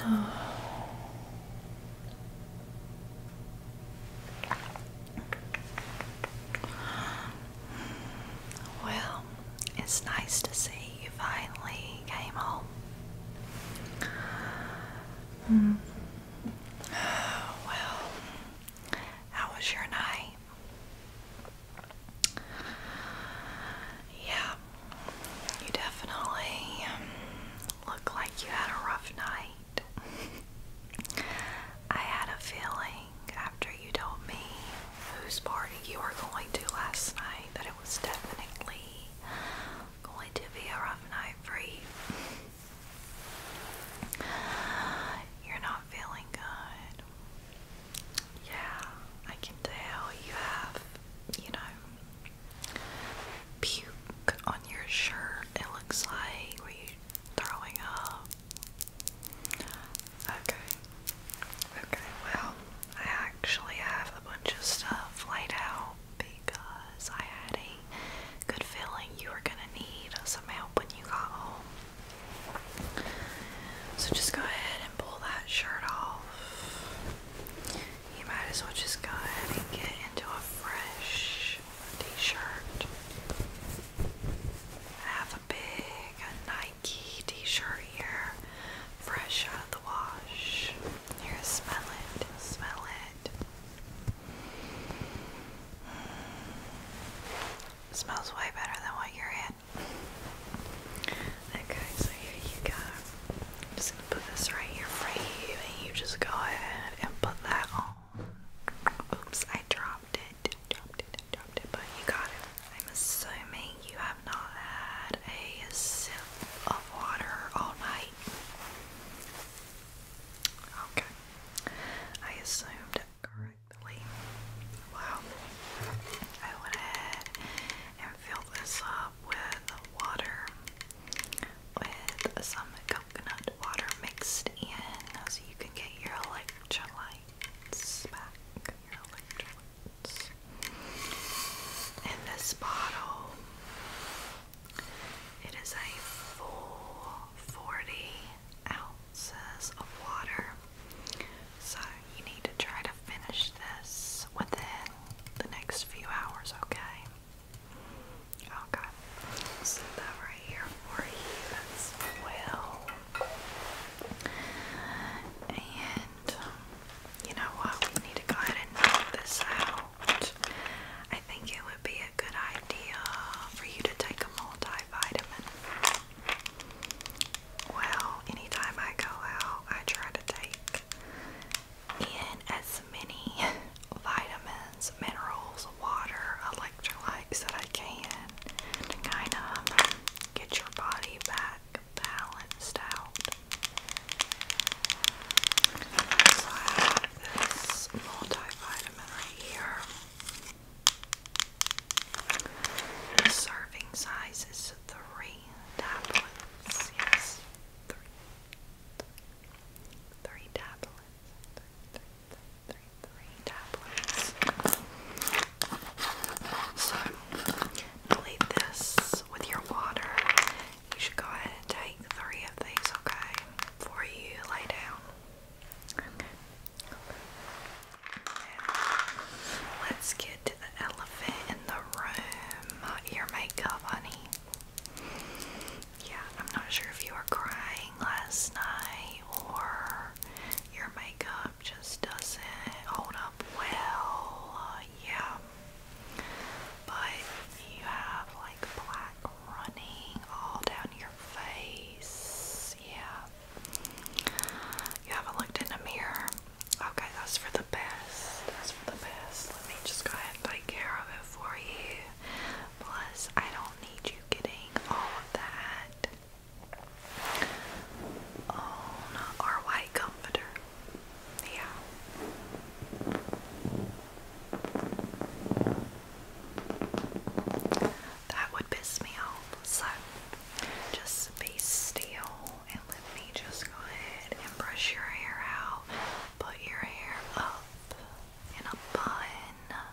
Well, it's nice to see you finally came home. Mm. Well, how was your night? Yeah, you definitely um, look like you had a rough night. I had a feeling after you told me whose party you were going to last night that it was definitely going to be a rough night for you. You're not feeling good. Yeah, I can tell you have, you know, puke on your shirt. It looks like were are throwing up? Okay, okay. Well, I actually have a bunch of stuff laid out because I had a good feeling you were gonna need some help when you got home. So just go ahead and pull that shirt off. You might as well just go ahead and get into a fresh t-shirt. I have a big Nike t-shirt here, fresh out of the wash. Here, smell it, smell it. Smells way better than what you're in. Okay, so here you go. I'm just gonna put this right here for you, and you just go ahead and put that on. Oops, I dropped it. Dropped it, dropped it, but you got it. I'm assuming you have not had a sip of water all night. Okay. I assumed correct. Wow. I went ahead and filled this up with water, with some coconut water mixed in, so you can get your electrolytes back. Your electrolytes. And this bottle, it is a full 40 ounces of water. So you need to try to finish this within the next few hours, okay? Okay. So that right here for you as well. And you know what? We need to go ahead and knock this out. I think it would be a good idea for you to take a multivitamin. Well, anytime I go out, I try to take in as many vitamins, minerals, water, electrolytes that I can to kind of get your body back balanced out. So I have this multivitamin right here. The serving size is three tablets. Yes, three. Three tablets. So, leave this with your water. You should go ahead and take three of these, okay? Before you lay down. okay. Let's get to the elephant in the room. Your makeup, honey. Yeah, I'm not sure if you were crying last night or your makeup just doesn't hold up well. yeah. But you have like black running all down your face. Yeah. You haven't looked in a mirror. Okay, that's for the best. That's for the best. Let me just go ahead and take care of it for you. Plus, I don't need you getting all of that on our white comforter. Yeah. That would piss me off. So just be still and let me just go ahead and brush your hair out. Put your hair up in a bun,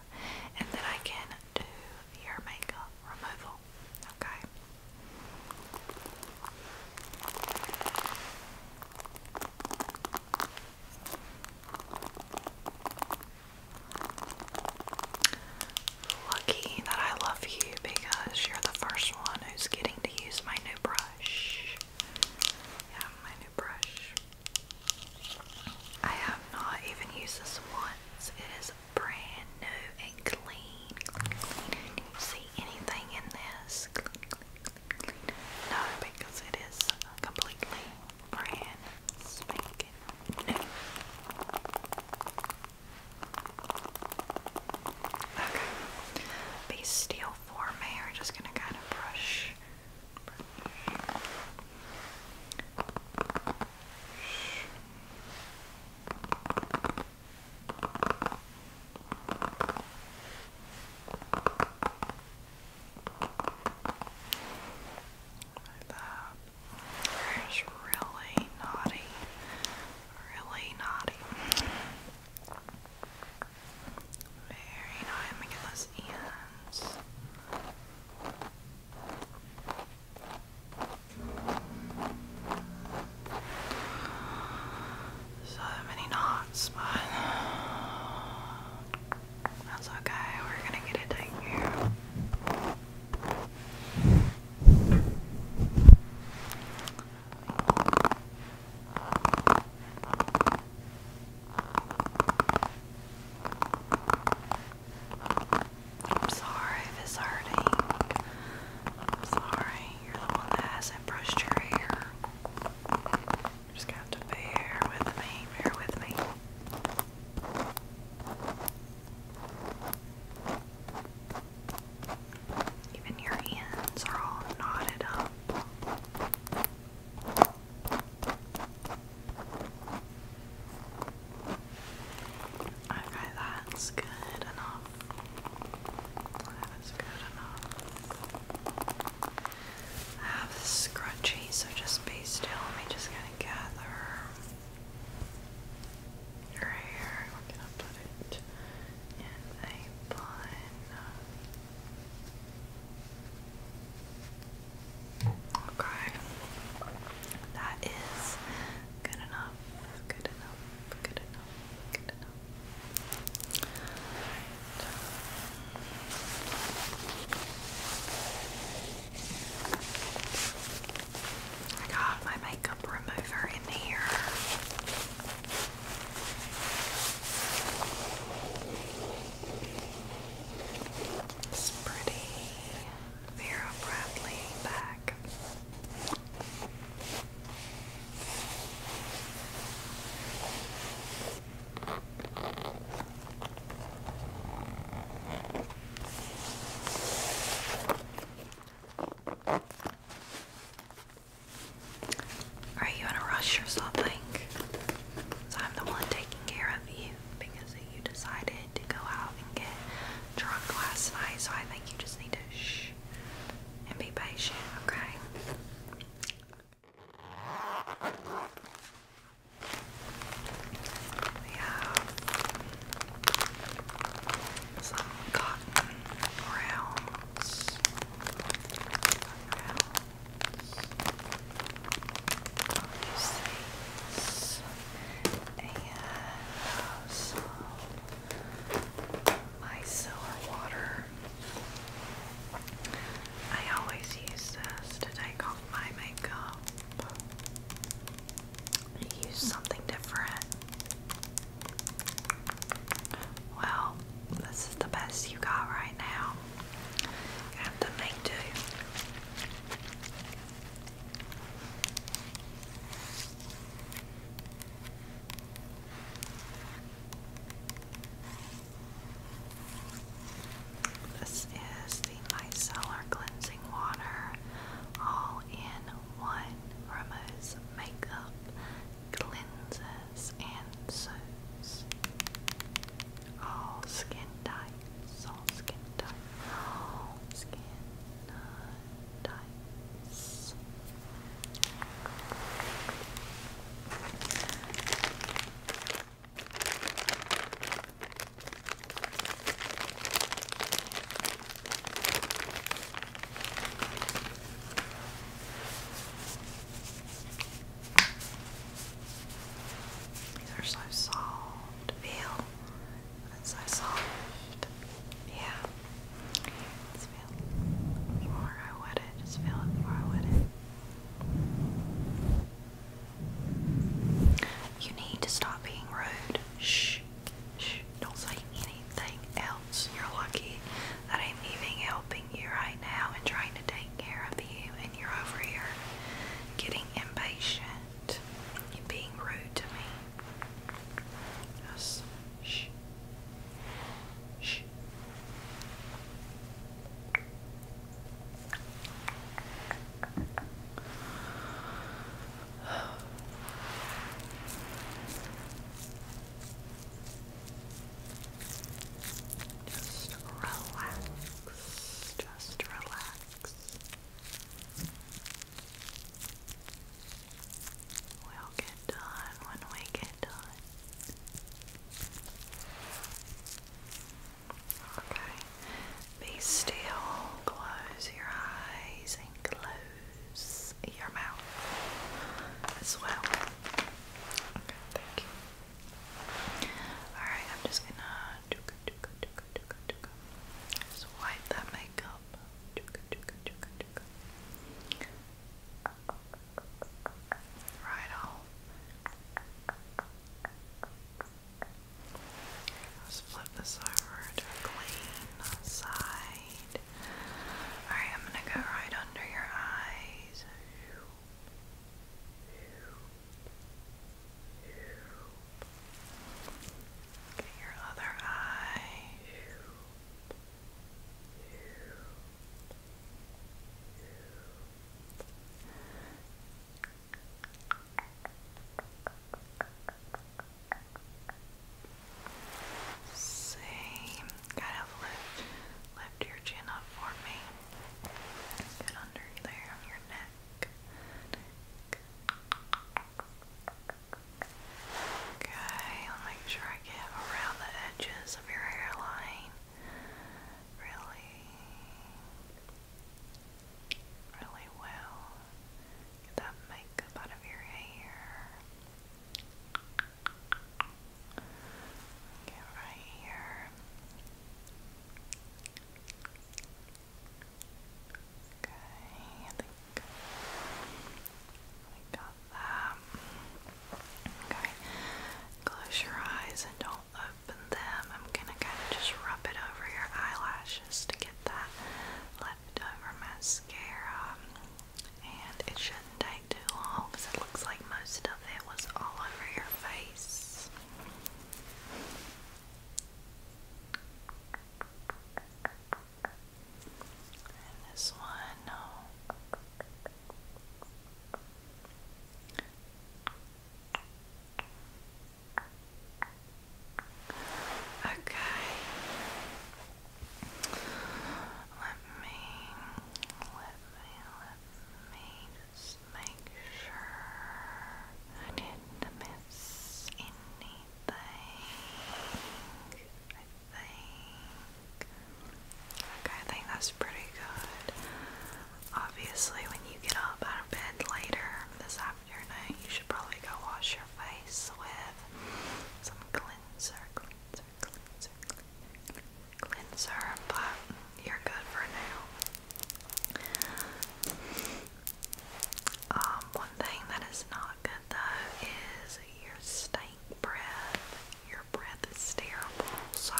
and then I can do your makeup removal. Okay. Lucky that I love you because you're the first one who's getting to use my new brush. Yeah, my new brush. I have not even used this once. It is brand new and clean. see anything in this? No, because it is completely brand spanking new. Okay. These steel form A are just gonna kind of brush. Like that. It's really naughty. Really naughty. Very naughty. Let me get So many knots, but that's okay. We're gonna get it taken here. I'm sorry if it's hurting. sorry, you're the one that hasn't brushed your hair. just got to bear with me, bear with me. Even your hands are all knotted up. Okay, that's good enough. That is good enough. I have this scrunchie, so just be still. Let me just gonna gather your hair. We're gonna put it in a bun. Okay, that is good enough. Good enough. Good enough. Good enough. I got my makeup remover in here. It's pretty. Vera Bradley back. Are you in a rush or something? So I'm the one taking care of you because you decided to go out and get drunk last night. So I think you just need to shh and be patient, okay? We some cotton rounds. rounds. And some micellar water. I always use this to take off my makeup. Use something different. Well, this is the best you got right now. have to make do. This is the Micellar Cleansing Water All in One. Removes makeup, cleanses, and soaps. All skin types, all skin types, all skin types. These are so soft. Feel. That's so soft. Yeah. Just feel it I wet it. Just feel it before I wet it. You need to stop being rude. Shh. Shh. Don't say anything else. You're lucky that I'm even helping you right now and trying to take care of you, and you're over here getting impatient and being rude to me. shh. Shh. Just relax. Just relax. We'll get done when we get done. Okay. Be still, close your eyes, and close your mouth as well. Okay, thank you. Alright, I'm just gonna just wipe that makeup. Right off. Let's flip this over to a clean side. Alright, I'm gonna go right under your eyes. your other eye. Same. kind of lift, lift your chin up for me. Get under there your neck. Okay, I'll make sure I get around the edges of your hairline really, really well. Get that makeup out of your Get right here. Okay, I think I got that. Okay, close your eyes and don't open them. I'm gonna kind of just rub it over your eyelashes to get that leftover mascara. And it shouldn't take too long because it looks like most of it was all over your face. this one, no. Oh. Okay. Let me, let me, let me just make sure I didn't miss anything. I think. Okay, I think that's pretty good. Obviously, when you get up out of bed later this afternoon, you should probably go wash your face with some cleanser, cleanser, cleanser, cleanser, but you're good for now. Um, one thing that is not good though is your steak breath, breath is terrible. So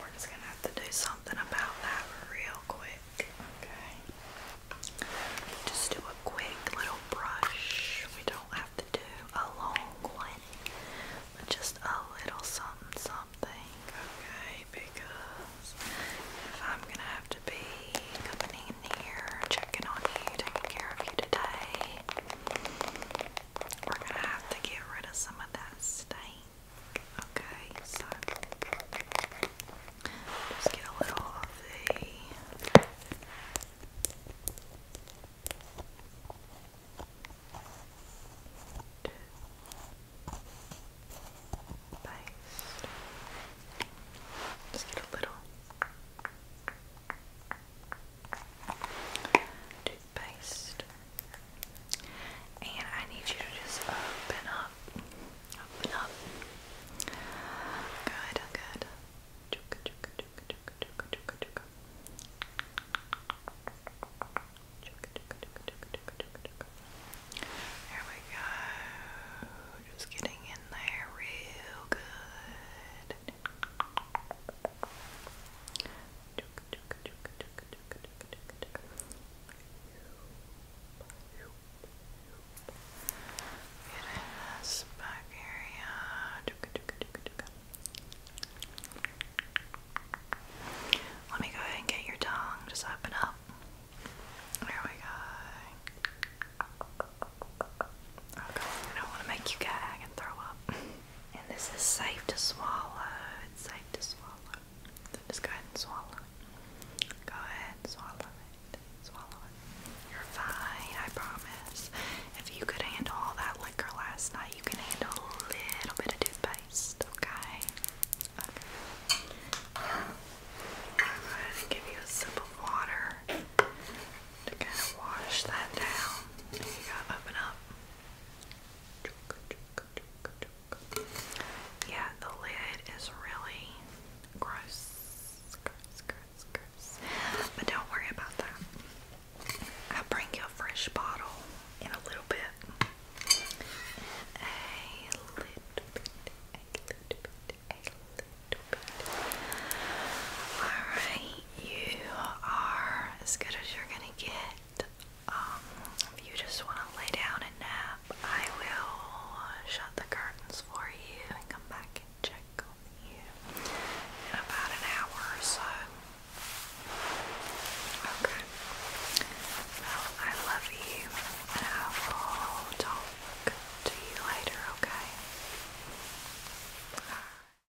we're just gonna have to do something about that real quick. Okay. Just do a quick little brush. We don't have to do a long one, just a little something something. Okay, because if I'm gonna have to be coming in here, checking on you, taking care of you today, we're gonna have to get rid of some of that last, I Okay, just get a little of the paste. Just get a little toothpaste. And I need you to just open up. Open up. Good, good. Chugga, chugga, chugga, chugga, chugga, chugga, chugga. Chugga, chugga, chugga, chugga, we go. Just getting in there real good in Let me go ahead and get your tongue. Just open up. There we go. Okay, I don't want to make you gag and throw up. And this is safe to swallow. It's safe to swallow. just go ahead and swallow it. Go ahead and swallow it. Swallow it. You're fine, I promise. If you could handle all that liquor last night, you can handle a little bit of toothpaste, okay? Okay. Go ahead and give you a sip of water to kind of wash that down. There you go, open up. Yeah, the lid is really gross. But don't worry about that. I'll bring you a fresh bottle in a little bit. A little bit, a little bit, a little bit. Alright you are as good as you're gonna get. Um, if you just want to lay down and nap, I will shut the curtains for you and come back and check on you in about an hour or so. Okay. I love you, and I will talk to you later. Okay.